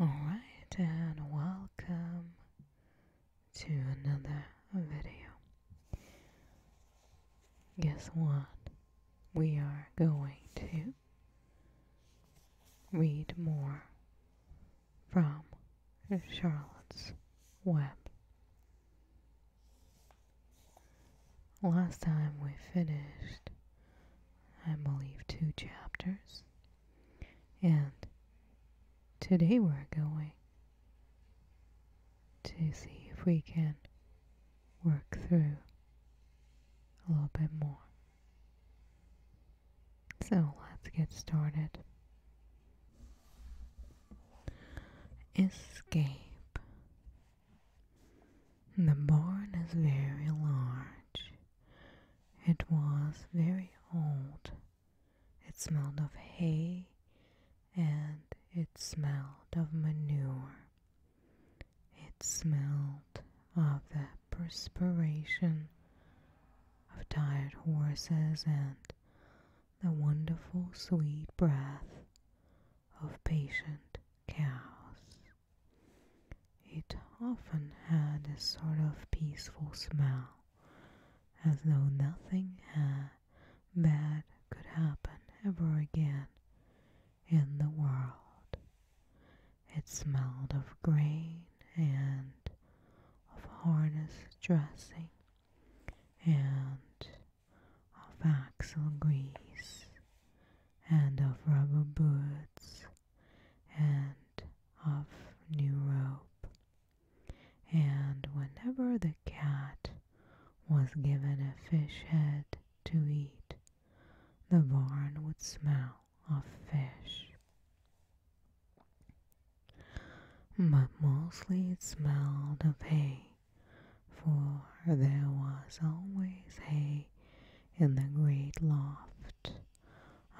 Alright, and welcome to another video. Guess what? We are going to read more from Charlotte's Web. Last time we finished I believe, two chapters. And today we're going to see if we can work through a little bit more. So let's get started. Escape. The barn is very large. It was very old. It smelled of hay and it smelled of manure. It smelled of the perspiration of tired horses and the wonderful sweet breath of patient cows. It often had a sort of peaceful smell, as though nothing bad could happen ever again in the world. It smelled of grain and of harness dressing and of axle grease and of rubber boots and of new rope. And whenever the cat was given a fish head to eat, the barn would smell of fish. But mostly it smelled of hay, for there was always hay in the great loft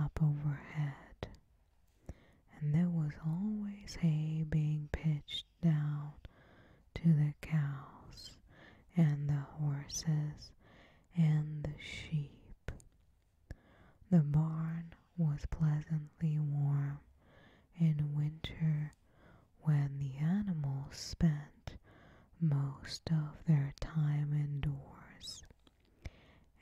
up overhead, and there was always hay being pitched down to the cows and the horses and the sheep. The barn was pleasantly warm in winter when the animals spent most of their time indoors,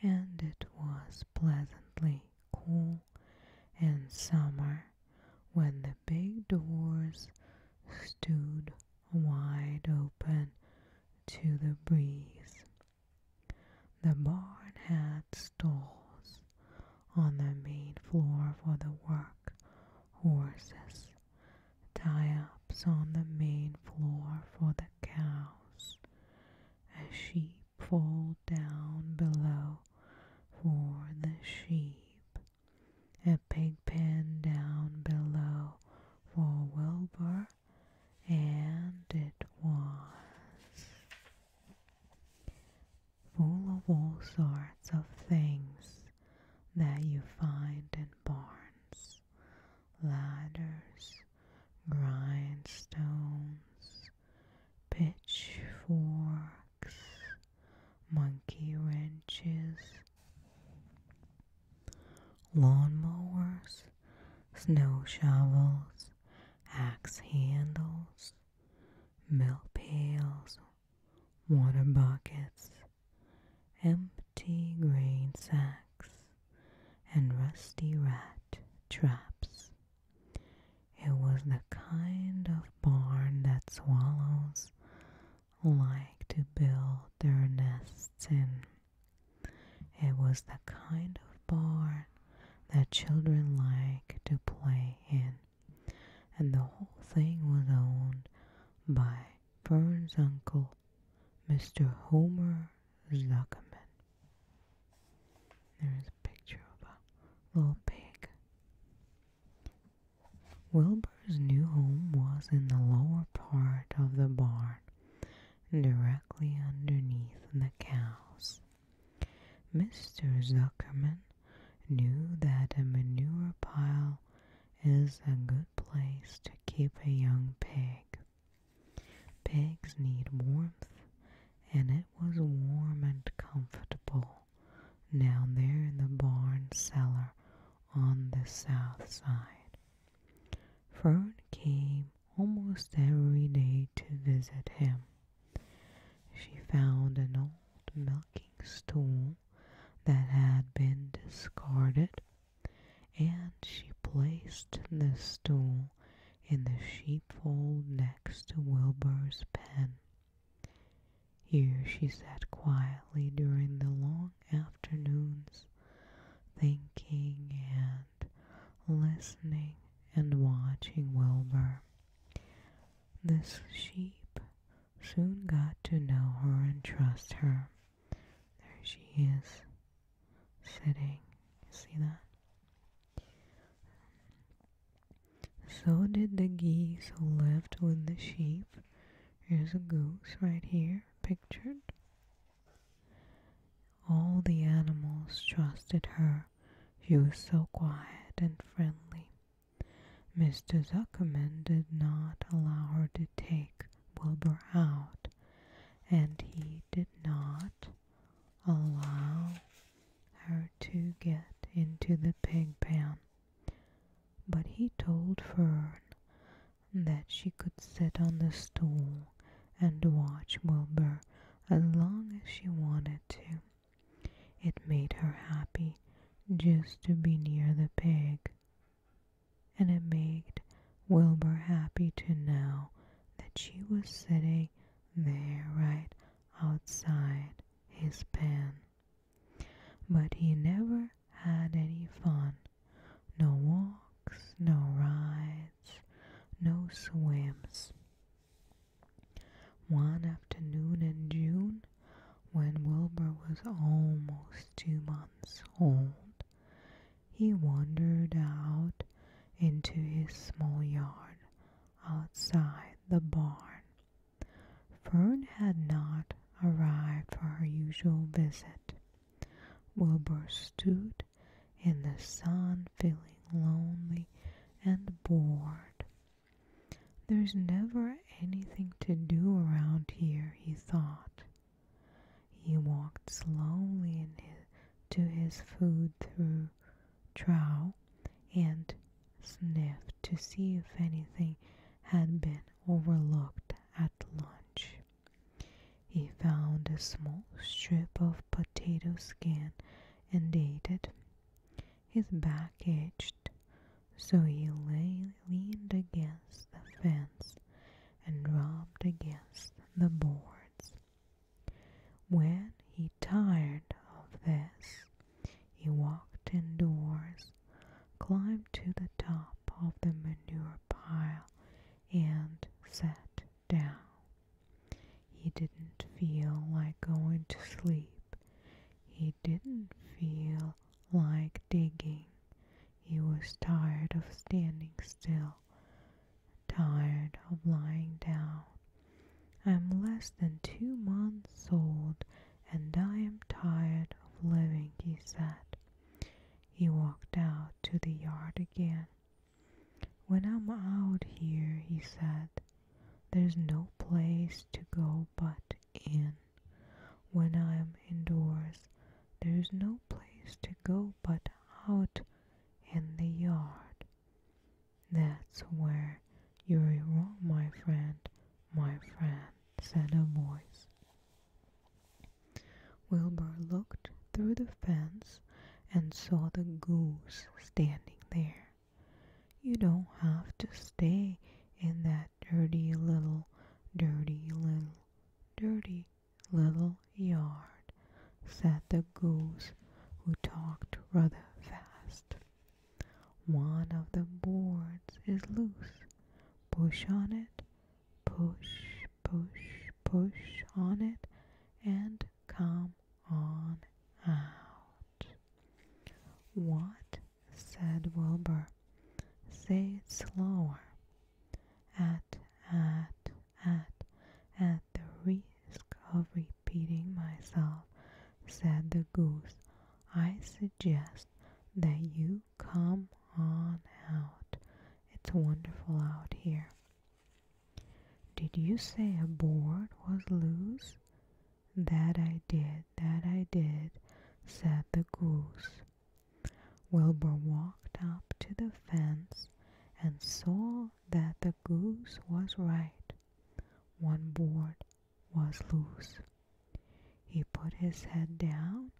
and it was pleasantly cool in summer when the big doors stood wide open to the breeze. The barn had stalls on the main floor for the work horses tie-ups on the main floor for the cows, a sheep fold down below for the sheep, a pig pen down below for Wilbur, and it was full of all sorts of things that you find in barns ladders, grindstones, pitchforks, monkey wrenches, lawnmowers, snow shovels, axe handles, milk pails, water buckets, empty grain sacks, and rusty rat traps. It was the kind of barn that swallows like to build their nests in. It was the kind of barn that children like to play in, and the whole thing was owned by Fern's uncle, Mr. Homer Zuckerman. There is a picture of a little pig. Wilbur's new home was in the lower part of the barn, directly underneath the cows. Mr. Zuckerman knew that a manure pile is a good place to keep a young pig. Pigs need warmth, and it was warm and comfortable down there in the barn cellar on the south side. Fern came almost every day to visit him. She found an old milking stool that had been discarded and she placed the stool in the sheepfold next to Wilbur's pen. Here she sat quietly during the long afternoons, thinking and listening and watching Wilbur. The sheep soon got to know her and trust her. There she is, sitting. You see that? So did the geese who left with the sheep. There's a goose right here, pictured. All the animals trusted her. She was so quiet and friendly. Mr. Zuckerman did not allow her to take Wilbur out, and he did not allow her to get into the pig pen. But he told Fern that she could sit on the stool and watch Wilbur as long as she wanted to. It made her happy just to be near the pig and it made Wilbur happy to know that she was sitting there right outside his pen. But he never had any fun. No walks, no rides, no swims. One afternoon in June, when Wilbur was almost two months old, he wandered out into his small yard outside the barn. Fern had not arrived for her usual visit. Wilbur stood in the sun, feeling lonely and bored. There's never anything to do around here, he thought. He walked slowly to his food through trough and sniffed to see if anything had been overlooked at lunch. He found a small strip of potato skin and ate it. His back itched, so he leaned against the fence and rubbed against the boards. When he tired of this, he walked indoors, climbed to the top of the manure pile, and sat down. He didn't feel like going to sleep. He didn't feel like digging. He was tired of standing still tired of lying down. I'm less than two months old and I am tired of living, he said. He walked out to the yard again. When I'm out here, he said, there's no place to go but in. When I'm indoors, there's no place to go but out in the yard. That's where you're wrong, my friend, my friend, said a voice. Wilbur looked through the fence and saw the goose standing there. You don't have to stay in that dirty little, dirty little, dirty little yard, said the goose, who talked rather fast. One of the boards is loose. Push on it, push, push, push on it, and come on out. What? said Wilbur. Say it slower. At, at, at at the risk of repeating myself, said the goose. I suggest that you come on out. It's wonderful out here. Did you say a board was loose? That I did, that I did, said the goose. Wilbur walked up to the fence and saw that the goose was right. One board was loose. He put his head down,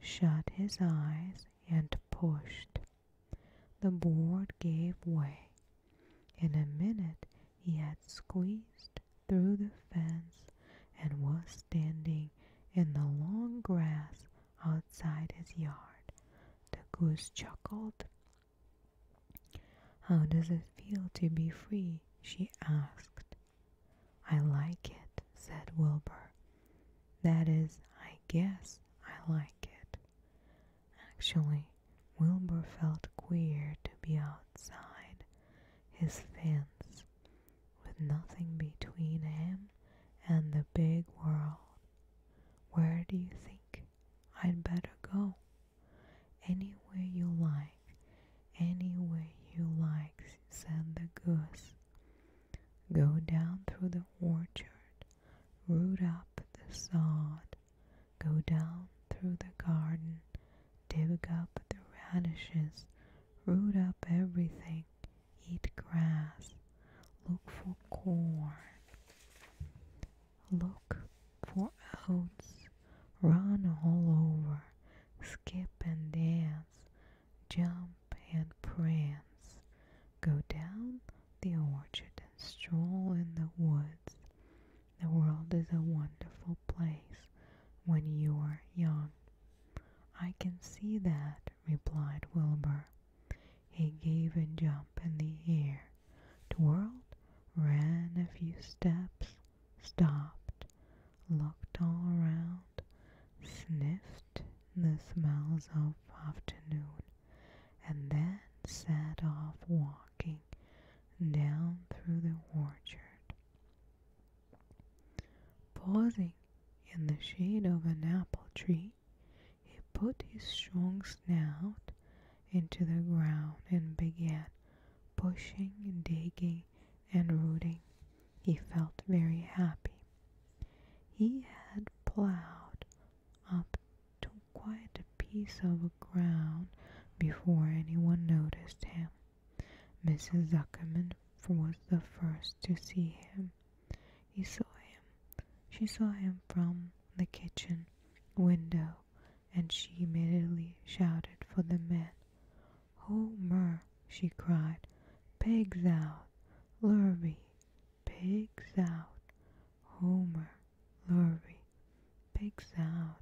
shut his eyes, and pushed. The board gave way. In a minute he had squeezed through the fence and was standing in the long grass outside his yard. The goose chuckled. How does it feel to be free? she asked. I like it, said Wilbur. That is, I guess I like it. Actually, Wilbur felt queer to be outside his fence, with nothing between him and the big world. Where do you think I'd better go? Anywhere you like, anywhere you like, said the goose. Go down through the orchard, root up the sod, go down through the garden, dig up the radishes, root up everything, eat grass, look for corn, look for oats, run all over, skip and dance, jump and prance, go down the orchard and stroll in the woods. The world is a wonderful place when you are young. I can see that, replied Wilbur. He gave a jump in the air, twirled, ran a few steps, stopped, looked all around, sniffed the smells of afternoon, and then set off walking down through the orchard. Pausing in the shade of an apple tree, he put his strong snout into the ground and began pushing, digging, and rooting. He felt very happy. He had plowed up quite a piece of ground before anyone noticed him. Mrs. Zuckerman was the first to see him. He saw him. She saw him from the kitchen window, and she immediately shouted for the men. Homer, she cried, pigs out, Lurvy, pigs out. Homer, Lurvy, pigs out.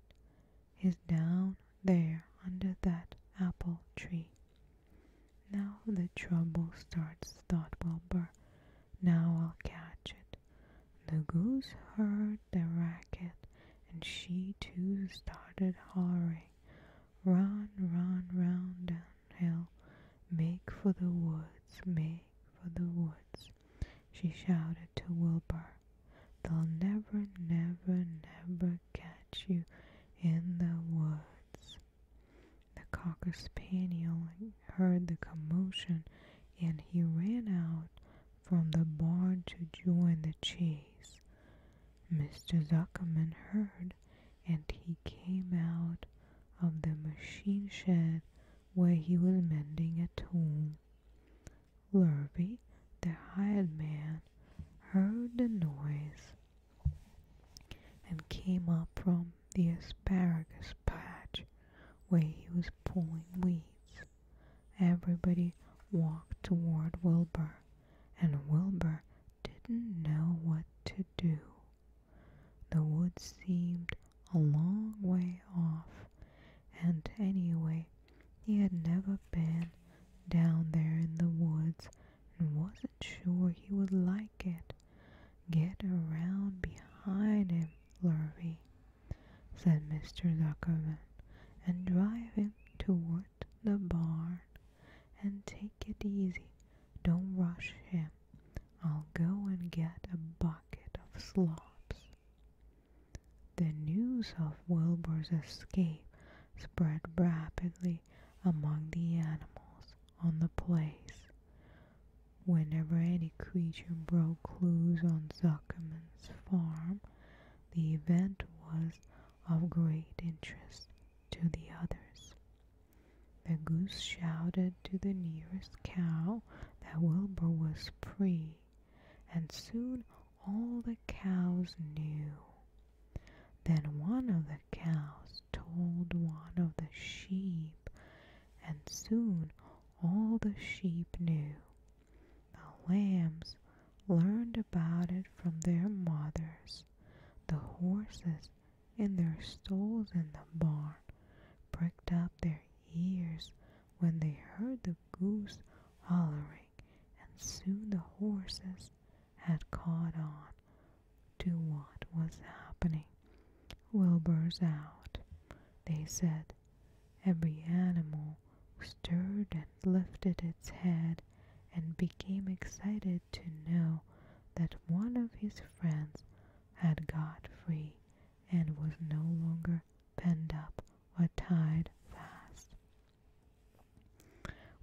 He's down there under that apple tree. Now the trouble starts, thought Wilbur. Now I'll catch it. The goose heard the racket, and she too started hollering. Run, run, round hill, make for the woods, make for the woods. She shouted to Wilbur. They'll never, never, never catch you in the woods. The cocker spaniel heard the commotion and he ran out from the barn to join the chase. Mr. Zuckerman heard and he came out of the machine shed where he was mending a tool. Lurvy, the hired man, heard the noise and came up from the asparagus patch where he was pulling weeds. Everybody walked toward Wilbur, and Wilbur didn't know what to do. The woods seemed a long way off, and anyway, he had never been down there in the woods and wasn't sure he would like like Get around behind him, Lurvy, said Mr. Zuckerman, and drive him toward the barn. And take it easy. Don't rush him. I'll go and get a bucket of slops. The news of Wilbur's escape spread rapidly among the animals on the place. Whenever any creature broke clues on Zuckerman's farm, the event was of great interest to the others. The goose shouted to the nearest cow that Wilbur was free, and soon all the cows knew. Then one of the cows told one of the sheep, and soon all the sheep knew. The lambs learned about it from their mothers, the horses in their stalls in the barn pricked up their ears when they heard the goose hollering, and soon the horses had caught on to what was happening. Wilbur's out, they said. Every animal stirred and lifted its head and became excited to know that one of his friends had got free and was no longer penned up or tied fast.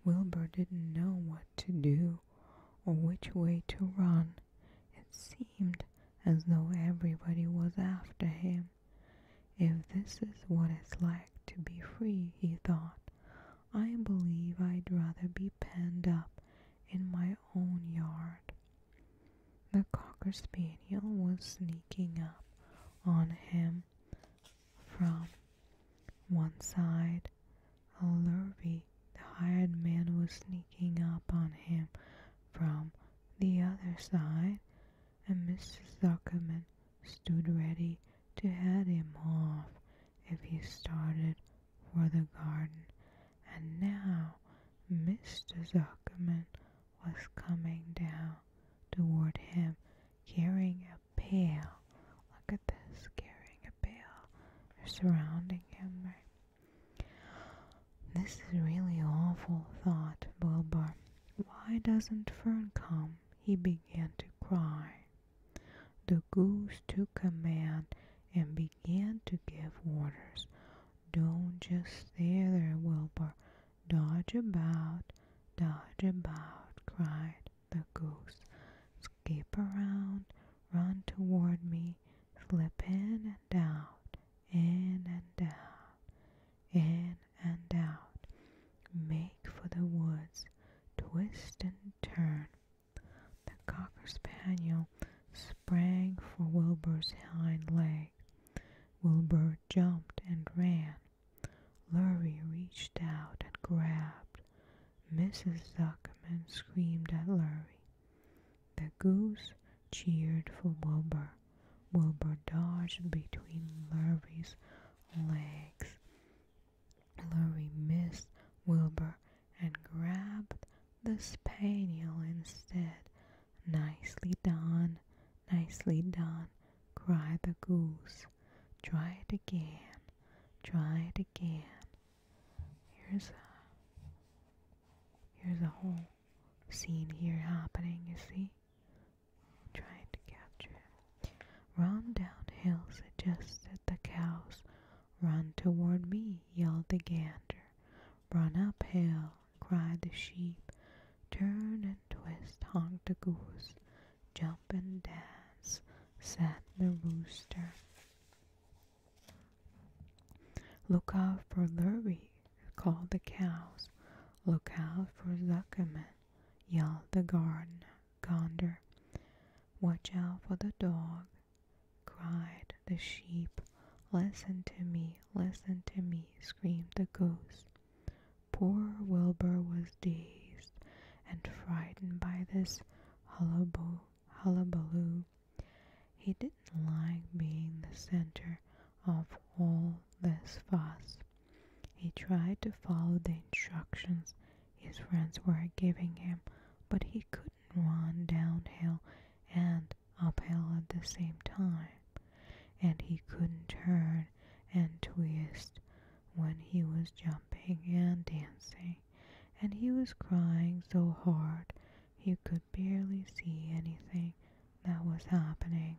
Wilbur didn't know what to do or which way to run, it seemed as though everybody was after him. If this is what it's like to be free, he thought, I believe I'd rather be penned up in my own yard. The cocker spaniel was sneaking up on him from one side. Lurvy the hired man was sneaking up on him from the other side, and Mr. Zuckerman stood ready to head him off if he started for the garden. And now Mr. Zuckerman was coming down toward him carrying a pail. Look at this, carrying a pail. surrounding him, this is really awful, thought Wilbur. Why doesn't Fern come? He began to cry. The goose took command and began to give orders. Don't just stay there, Wilbur. Dodge about, dodge about, cried the goose. Skip around, run toward me, slip in and out, in and out, in and out. Make for the woods, twist and turn. The cocker spaniel sprang for Wilbur's hind leg. Wilbur jumped and ran. Lurie reached out and grabbed. Mrs. Zuckerman screamed at Lurie. The goose cheered for Wilbur. Wilbur dodged between Larry's legs. Larry missed Wilbur and grabbed the spaniel instead. Nicely done, nicely done, cried the goose. Try it again, try it again. Here's a, here's a hole. Seen here happening, you see? Trying to capture it. Run downhill, suggested the cows. Run toward me, yelled the gander. Run uphill, cried the sheep. Turn and twist, honked the goose. Jump and dance, said the rooster. Look out for Lurvy, called the cows. Look out for Zuckerman, yelled the gardener. gander. Watch out for the dog, cried the sheep. Listen to me, listen to me, screamed the ghost. Poor Wilbur was dazed and frightened by this hullabaloo, hullabaloo he didn't like being the center of all this fuss. He tried to follow the instructions his friends were giving him, but he couldn't run downhill and uphill at the same time, and he couldn't turn and twist when he was jumping and dancing, and he was crying so hard he could barely see anything that was happening.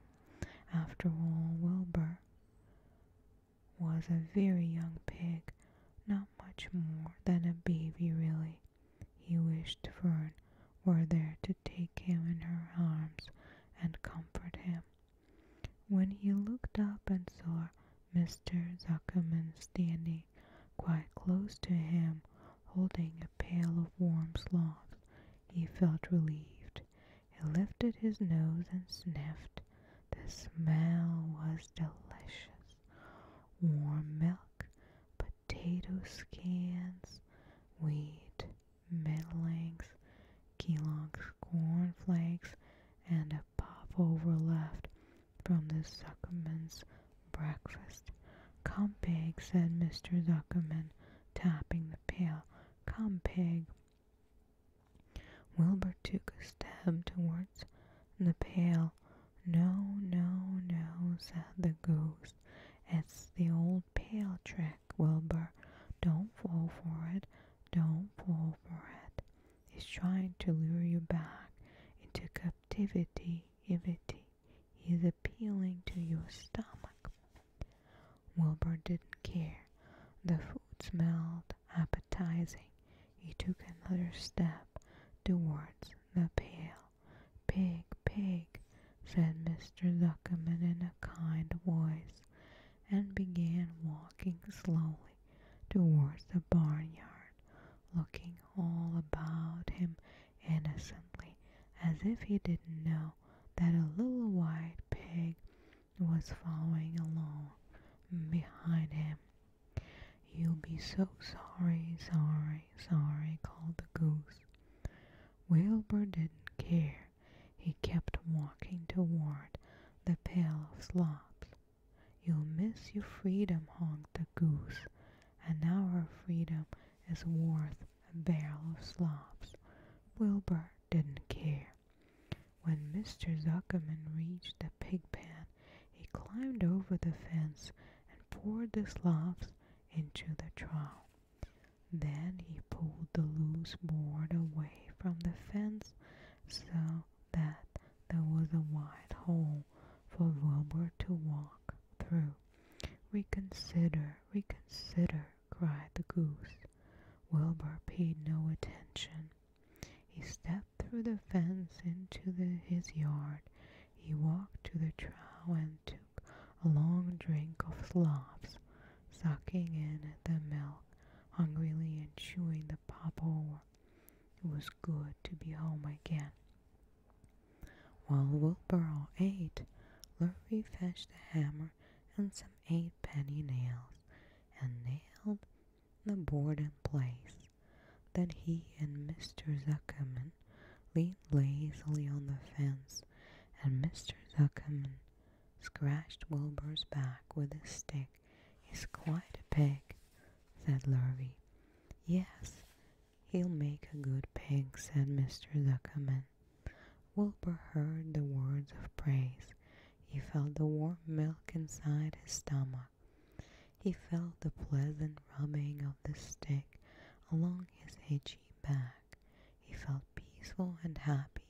After all, Wilbur was a very young pig, not much more than a baby, really. He wished Fern were there to take him in her arms and comfort him. When he looked up and saw Mr. Zuckerman standing quite close to him holding a pail of warm sloth. He felt relieved. He lifted his nose and sniffed. The smell was delicious. Warm milk, potato skins, wheat, middlings, Kellogg's cornflakes, and a pop over left from the Suckerman's breakfast. Come, pig, said Mr. Zuckerman, tapping the pail. Come, pig. Wilbur took a step towards the pail. No, no, no, said the goose. It's the old pail trick, Wilbur. Don't fall for it. Don't fall for it. It's trying to lure you back into captivity, ivity. Is appealing to your stomach. Wilbur didn't care. The food smelled appetizing. He took another step towards the pail. Pig, pig, said Mr. Zuckerman in a kind voice, and began walking slowly towards the barnyard, looking all about him innocently, as if he didn't know that a little white pig was following along behind him. You'll be so sorry, sorry, sorry, called the goose. Wilbur didn't care. He kept walking toward the pail of slops. You'll miss your freedom, honked the goose, and our freedom is worth a barrel of slops. Wilbur didn't care. When Mr. Zuckerman reached the pig pen, he climbed over the fence and poured the slops into the trough. Then he pulled the loose board away from the fence so that there was a wide hole for Wilbur to walk through. Reconsider, reconsider! cried the goose. Wilbur paid no attention. He stepped through the fence into his yard. He walked to the trough and took a long drink of slops, sucking in the milk hungrily and chewing the pop over. It was good to be home again. While Wilbur ate, Lurvy fetched a hammer and some eight-penny nails, and nailed the board in place. Then he and Mr. Zuckerman leaned lazily on the fence, and Mr. Zuckerman scratched Wilbur's back with his stick. He's quite a pig, said Lurvy. Yes, He'll make a good pig, said Mr. Zuckerman. Wilbur heard the words of praise. He felt the warm milk inside his stomach. He felt the pleasant rubbing of the stick along his itchy back. He felt peaceful and happy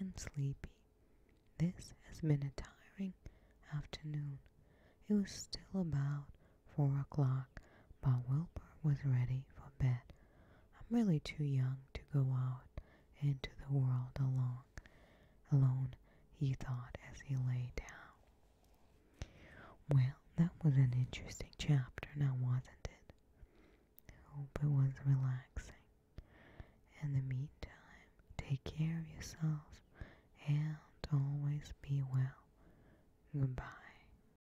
and sleepy. This has been a tiring afternoon. It was still about four o'clock, but Wilbur was ready for bed. I'm really too young to go out into the world alone. Alone, he thought as he lay down. Well, that was an interesting chapter now, wasn't it? I hope it was relaxing. In the meantime, take care of yourselves and always be well. Goodbye.